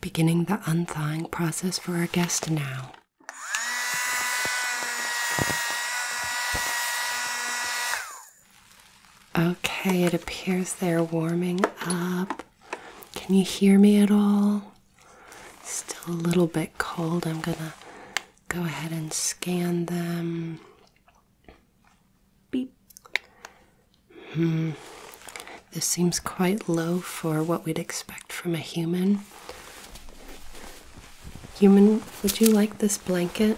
beginning the unthawing process for our guest now. Okay, it appears they're warming up. Can you hear me at all? Still a little bit cold. I'm gonna go ahead and scan them. Beep. Hmm. This seems quite low for what we'd expect from a human. Human, would you like this blanket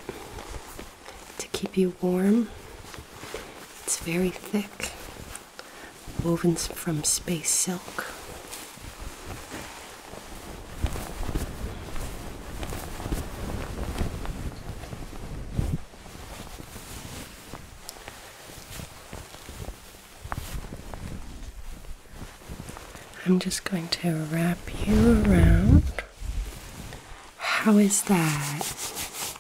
to keep you warm? It's very thick, woven from space silk. I'm just going to wrap you around. How is that?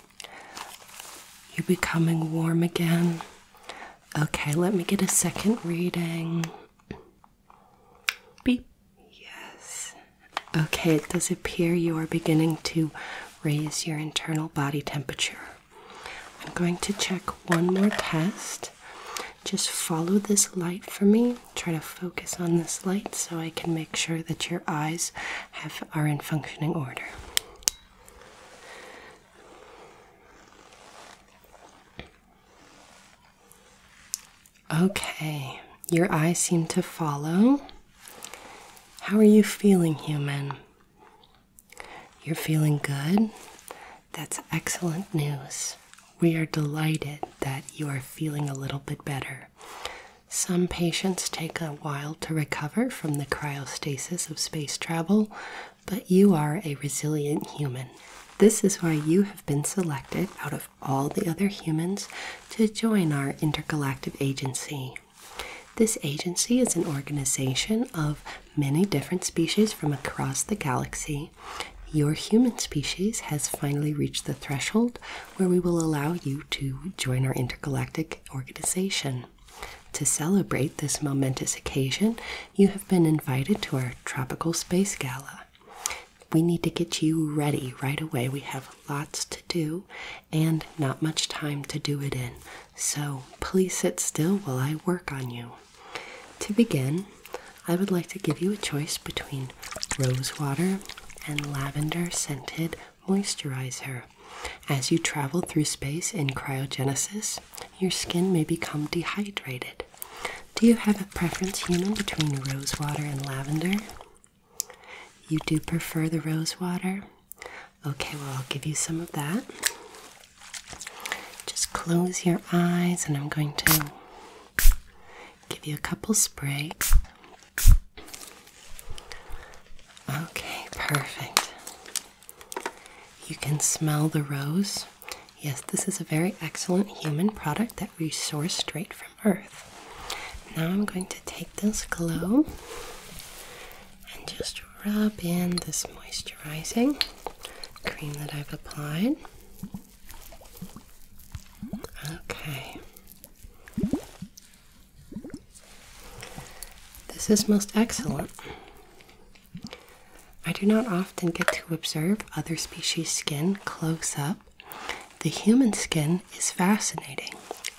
You becoming warm again? Okay, let me get a second reading. Beep. Yes. Okay, it does appear you are beginning to raise your internal body temperature. I'm going to check one more test. Just follow this light for me. Try to focus on this light so I can make sure that your eyes have are in functioning order. Okay, your eyes seem to follow. How are you feeling, human? You're feeling good? That's excellent news. We are delighted that you are feeling a little bit better. Some patients take a while to recover from the cryostasis of space travel, but you are a resilient human. This is why you have been selected out of all the other humans to join our intergalactic agency. This agency is an organization of many different species from across the galaxy. Your human species has finally reached the threshold where we will allow you to join our intergalactic organization. To celebrate this momentous occasion, you have been invited to our Tropical Space Gala. We need to get you ready right away. We have lots to do, and not much time to do it in, so please sit still while I work on you. To begin, I would like to give you a choice between rose water and lavender scented moisturizer. As you travel through space in cryogenesis, your skin may become dehydrated. Do you have a preference, human, between rose water and lavender? You do prefer the rose water? Okay, well, I'll give you some of that. Just close your eyes, and I'm going to give you a couple sprays. Okay, perfect. You can smell the rose. Yes, this is a very excellent human product that we source straight from. Earth. Now I'm going to take this glow and just rub in this moisturizing cream that I've applied. Okay. This is most excellent. I do not often get to observe other species' skin close up. The human skin is fascinating.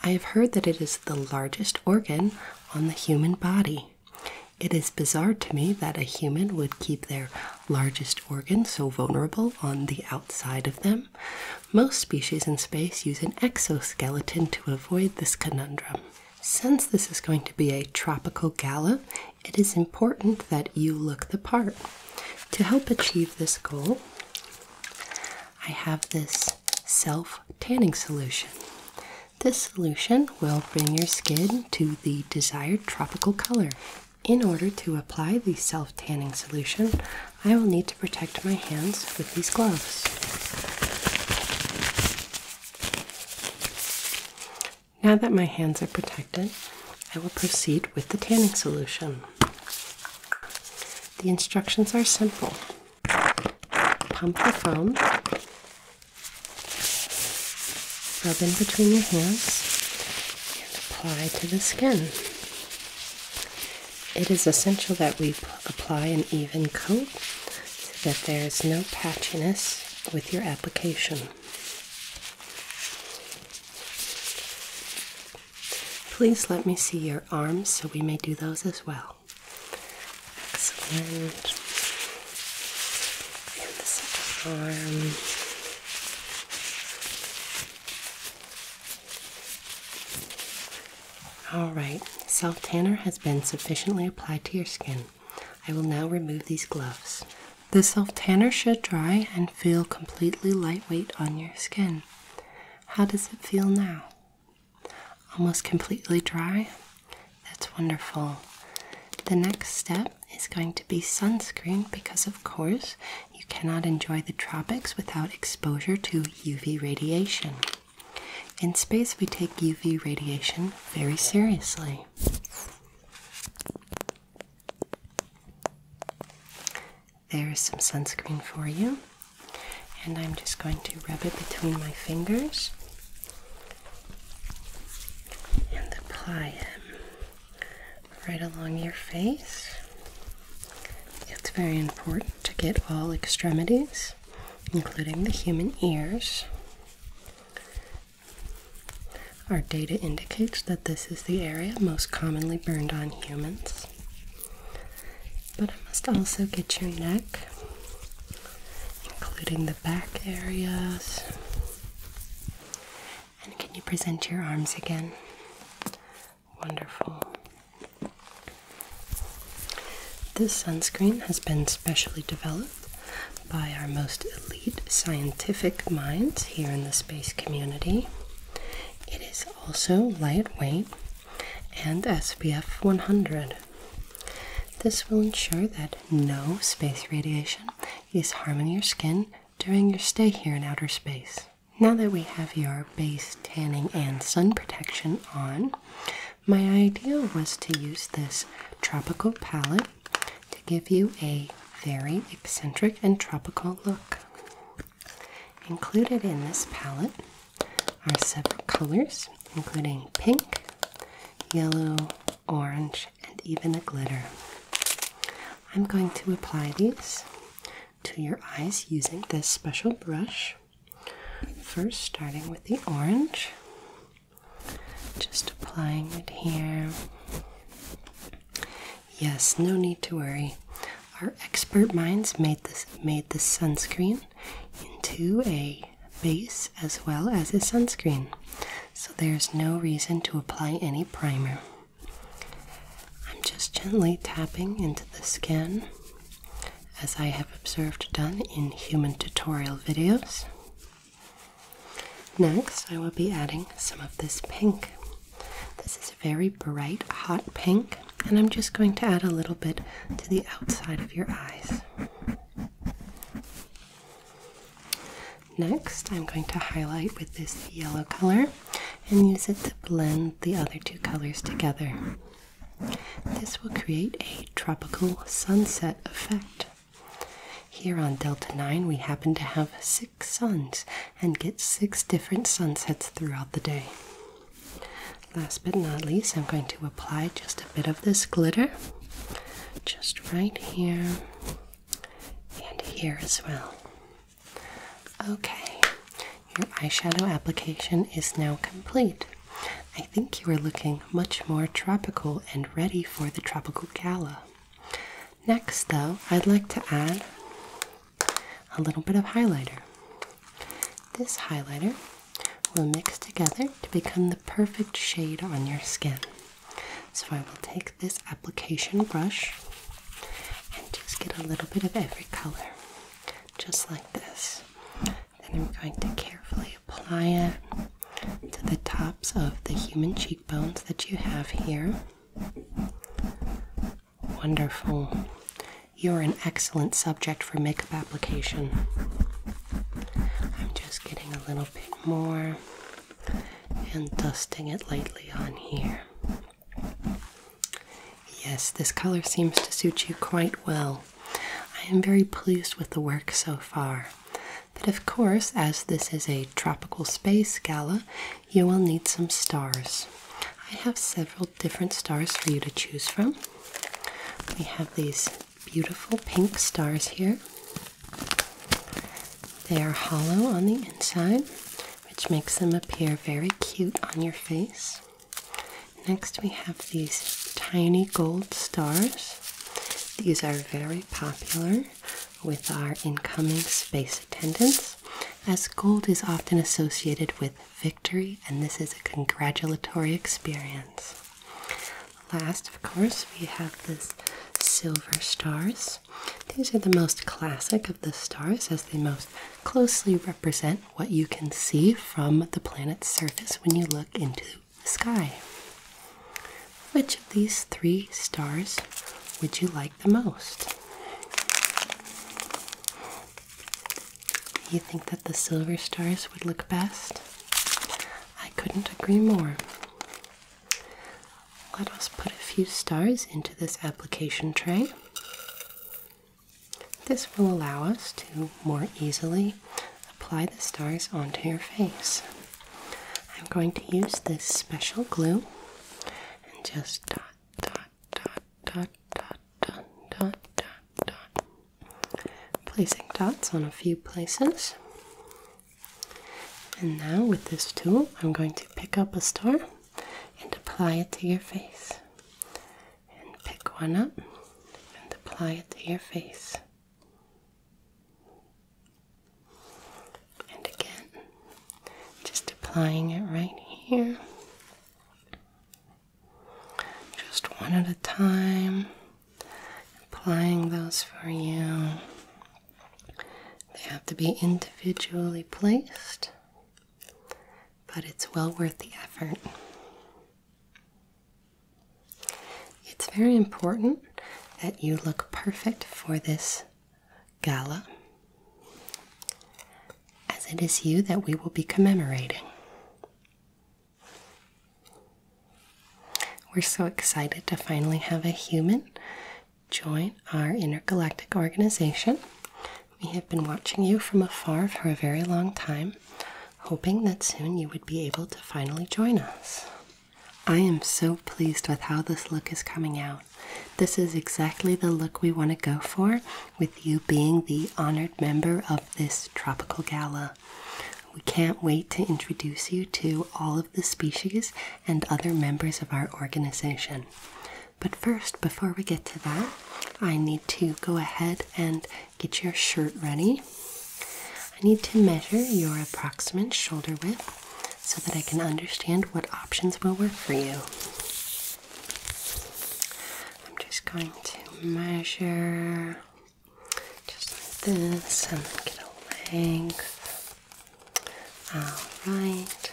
I have heard that it is the largest organ on the human body. It is bizarre to me that a human would keep their largest organ so vulnerable on the outside of them. Most species in space use an exoskeleton to avoid this conundrum. Since this is going to be a tropical gala, it is important that you look the part. To help achieve this goal, I have this self tanning solution. This solution will bring your skin to the desired tropical color. In order to apply the self tanning solution, I will need to protect my hands with these gloves. Now that my hands are protected, I will proceed with the tanning solution. The instructions are simple pump the foam, rub in between your hands, and apply to the skin. It is essential that we apply an even coat so that there is no patchiness with your application. Please let me see your arms so we may do those as well. Excellent. And the second arm. Alright, self tanner has been sufficiently applied to your skin. I will now remove these gloves. The self tanner should dry and feel completely lightweight on your skin. How does it feel now? Almost completely dry? That's wonderful. The next step is going to be sunscreen because, of course, you cannot enjoy the tropics without exposure to UV radiation. In space, we take UV radiation very seriously. There's some sunscreen for you, and I'm just going to rub it between my fingers and apply it right along your face. It's very important to get all extremities, including the human ears. Our data indicates that this is the area most commonly burned on humans. But I must also get your neck, including the back areas. And can you present your arms again? Wonderful. This sunscreen has been specially developed by our most elite scientific minds here in the space community. It is also lightweight and SPF 100. This will ensure that no space radiation is harming your skin during your stay here in outer space. Now that we have your base tanning and sun protection on, my idea was to use this tropical palette to give you a very eccentric and tropical look. Included in this palette are several colors, including pink, yellow, orange, and even a glitter. I'm going to apply these to your eyes using this special brush. First, starting with the orange, just applying it here. Yes, no need to worry. Our expert minds made this made this sunscreen into a base as well as a sunscreen. So there's no reason to apply any primer. I'm just gently tapping into the skin as I have observed done in human tutorial videos. Next, I will be adding some of this pink this is a very bright hot pink, and I'm just going to add a little bit to the outside of your eyes. Next, I'm going to highlight with this yellow color and use it to blend the other two colors together. This will create a tropical sunset effect. Here on Delta 9, we happen to have six suns and get six different sunsets throughout the day. Last but not least, I'm going to apply just a bit of this glitter just right here and here as well. Okay, your eyeshadow application is now complete. I think you are looking much more tropical and ready for the tropical gala. Next, though, I'd like to add a little bit of highlighter. This highlighter will mix together to become the perfect shade on your skin. So I will take this application brush and just get a little bit of every color, just like this. Then I'm going to carefully apply it to the tops of the human cheekbones that you have here. Wonderful. You're an excellent subject for makeup application. I'm just getting a little bit more and dusting it lightly on here. Yes, this color seems to suit you quite well. I am very pleased with the work so far. But of course, as this is a tropical space gala, you will need some stars. I have several different stars for you to choose from. We have these beautiful pink stars here. They are hollow on the inside, which makes them appear very cute on your face. Next, we have these tiny gold stars. These are very popular with our incoming space attendance, as gold is often associated with victory, and this is a congratulatory experience. Last, of course, we have this silver stars. These are the most classic of the stars as they most closely represent what you can see from the planet's surface when you look into the sky. Which of these three stars would you like the most? You think that the silver stars would look best? I couldn't agree more. Let us put a few stars into this application tray. This will allow us to more easily apply the stars onto your face. I'm going to use this special glue and just dot, dot, dot, dot, dot, dot, dot, dot, dot. Placing dots on a few places. And now with this tool, I'm going to pick up a star and apply it to your face. And pick one up and apply it to your face. And again, just applying it right here. Just one at a time, applying those for you. They have to be individually placed, but it's well worth the effort. It's very important that you look perfect for this gala, as it is you that we will be commemorating. We're so excited to finally have a human join our intergalactic organization. We have been watching you from afar for a very long time, hoping that soon you would be able to finally join us. I am so pleased with how this look is coming out. This is exactly the look we want to go for with you being the honored member of this tropical gala. We can't wait to introduce you to all of the species and other members of our organization. But first, before we get to that, I need to go ahead and get your shirt ready. I need to measure your approximate shoulder width so that I can understand what options will work for you. I'm just going to measure just like this and get a length. Alright.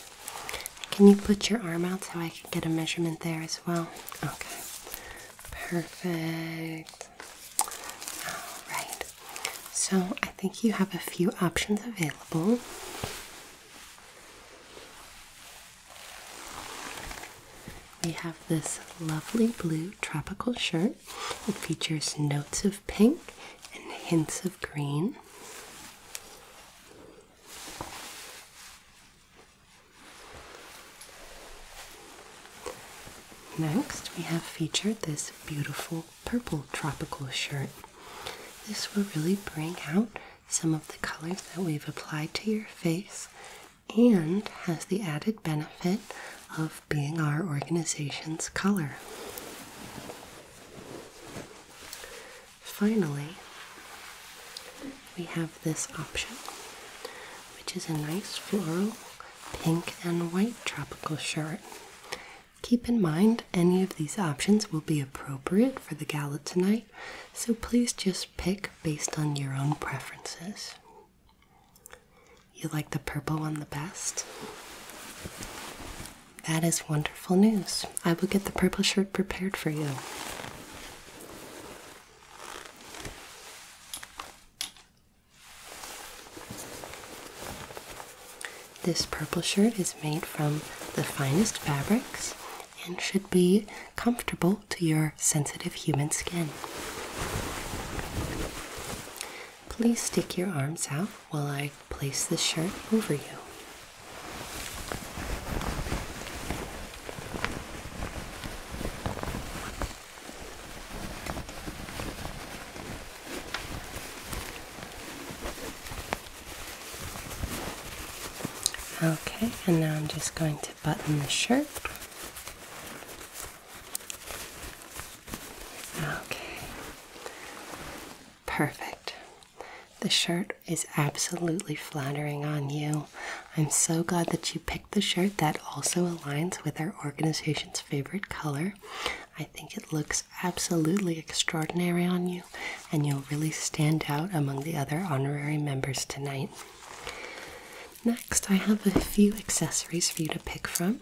Can you put your arm out so I can get a measurement there as well? Okay. Perfect. Alright, so I think you have a few options available. We have this lovely blue tropical shirt. It features notes of pink and hints of green. Next, we have featured this beautiful purple tropical shirt. This will really bring out some of the colors that we've applied to your face and has the added benefit of being our organization's color. Finally, we have this option which is a nice floral pink and white tropical shirt. Keep in mind any of these options will be appropriate for the gala tonight, so please just pick based on your own preferences. You like the purple one the best? That is wonderful news. I will get the purple shirt prepared for you. This purple shirt is made from the finest fabrics and should be comfortable to your sensitive human skin. Please stick your arms out while I place the shirt over you. Okay, and now I'm just going to button the shirt. Okay, perfect. The shirt is absolutely flattering on you. I'm so glad that you picked the shirt that also aligns with our organization's favorite color. I think it looks absolutely extraordinary on you, and you'll really stand out among the other honorary members tonight. Next, I have a few accessories for you to pick from.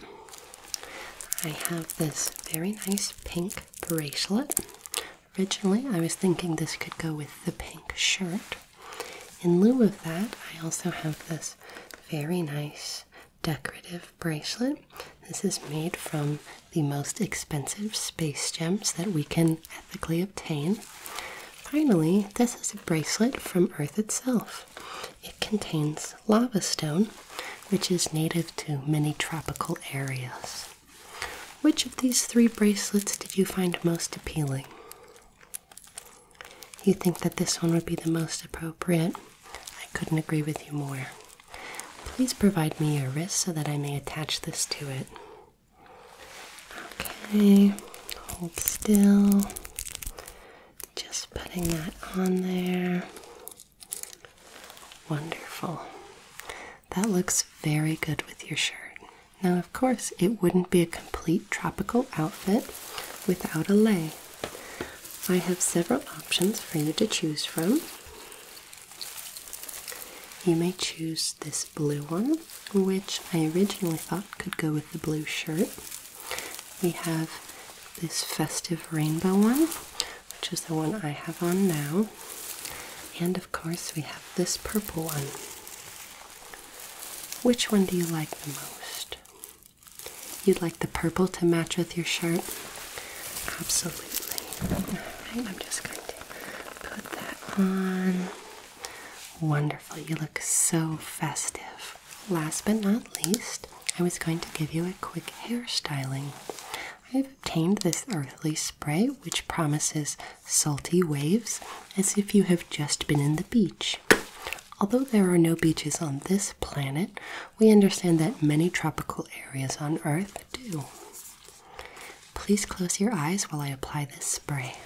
I have this very nice pink bracelet. Originally, I was thinking this could go with the pink shirt, in lieu of that, I also have this very nice decorative bracelet. This is made from the most expensive space gems that we can ethically obtain. Finally, this is a bracelet from Earth itself. It contains lava stone, which is native to many tropical areas. Which of these three bracelets did you find most appealing? You think that this one would be the most appropriate? I couldn't agree with you more. Please provide me your wrist so that I may attach this to it. Okay, hold still. Just putting that on there. Wonderful. That looks very good with your shirt. Now, of course, it wouldn't be a complete tropical outfit without a lei. I have several options for you to choose from. You may choose this blue one, which I originally thought could go with the blue shirt. We have this festive rainbow one, which is the one I have on now. And of course, we have this purple one. Which one do you like the most? You'd like the purple to match with your shirt? Absolutely. I'm just going to put that on. Wonderful, you look so festive. Last but not least, I was going to give you a quick hairstyling. I've obtained this earthly spray which promises salty waves as if you have just been in the beach. Although there are no beaches on this planet, we understand that many tropical areas on Earth do. Please close your eyes while I apply this spray.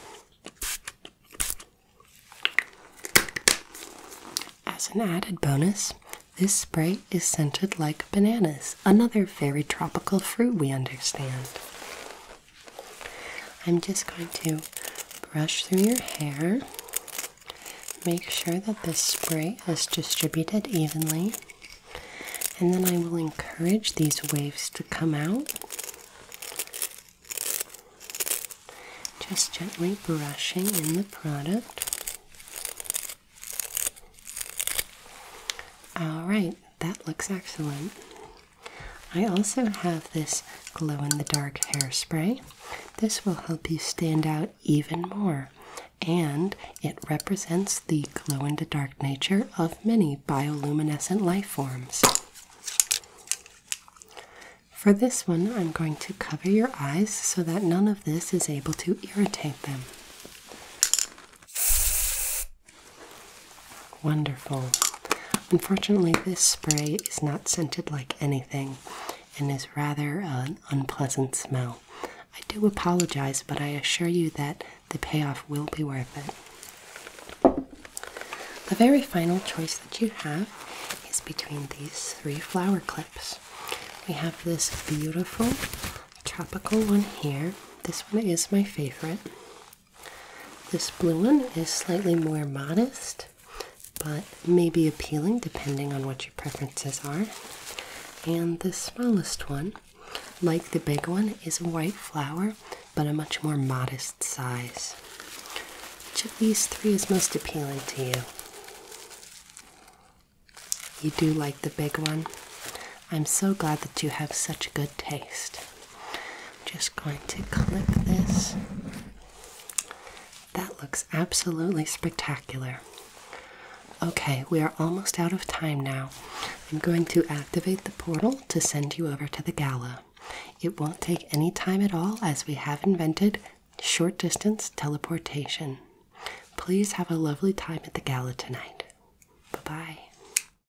As an added bonus, this spray is scented like bananas, another very tropical fruit we understand. I'm just going to brush through your hair. Make sure that this spray is distributed evenly, and then I will encourage these waves to come out. Just gently brushing in the product. All right, that looks excellent. I also have this glow in the dark hairspray. This will help you stand out even more, and it represents the glow in the dark nature of many bioluminescent life forms. For this one, I'm going to cover your eyes so that none of this is able to irritate them. Wonderful. Unfortunately, this spray is not scented like anything and is rather an unpleasant smell. I do apologize, but I assure you that the payoff will be worth it. The very final choice that you have is between these three flower clips. We have this beautiful tropical one here. This one is my favorite. This blue one is slightly more modest, but may be appealing depending on what your preferences are. And the smallest one, like the big one, is a white flower, but a much more modest size. Which of these three is most appealing to you? You do like the big one? I'm so glad that you have such good taste. I'm just going to clip this. That looks absolutely spectacular. Okay, we are almost out of time now. I'm going to activate the portal to send you over to the gala. It won't take any time at all as we have invented short distance teleportation. Please have a lovely time at the gala tonight. Bye bye.